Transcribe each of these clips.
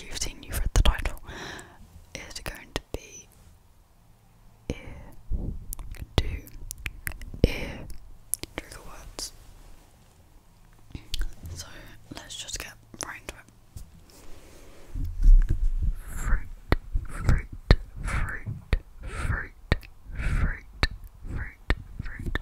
you've seen, you've read the title, is going to be ear to ear trigger words. So let's just get right into it. Fruit, fruit, fruit, fruit, fruit, fruit, fruit,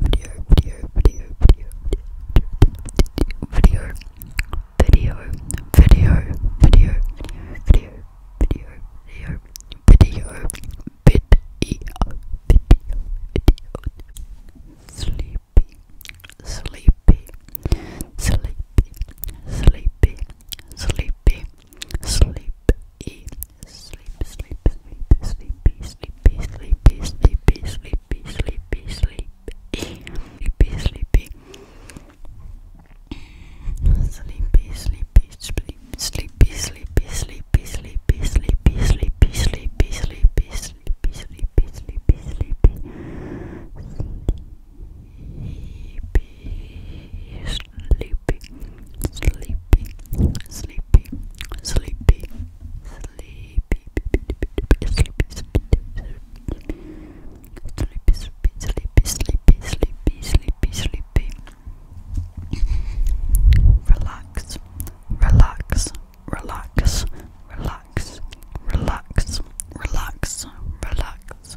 video, video, video, video, video, video, video, video, video, video, video, video, video, video, sleepy, sleepy, sleepy, sleepy, sleepy, sleepy, Sleep, sleep, sleep, sleepy, sleepy, sleepy, sleepy, sleepy, sleepy, sleepy, sleepy, sleepy. Sleepy, sleepy, sleepy, sleepy, sleepy, sleepy, sleepy, sleepy, sleepy, sleepy, sleepy, sleepy, sleepy, sleepy, sleepy. Sleepy, sleepy, sleepy, sleepy sleepy, sleepy, sleepy, sleepy, sleepy, sleepy, sleepy, sleepy, sleepy, sleepy. Relax, relax, relax, relax, relax, relax, relax.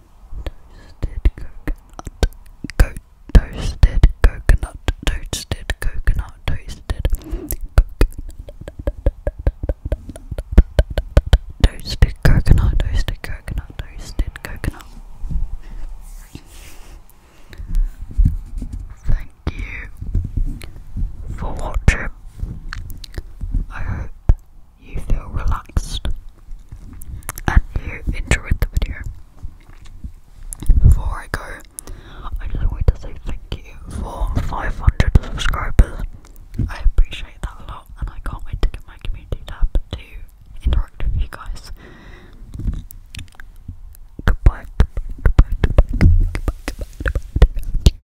Toasted coconut, co toasted coconut, toasted coconut, toasted coconut, toasted coconut, toasted coconut, toasted coconut. Thank you for watching you feel relaxed and you enjoy the video. Before I go, I just want to say thank you for 500 subscribers. I appreciate that a lot, and I can't wait to get my community tab to interact with you guys. Goodbye. goodbye, goodbye, goodbye.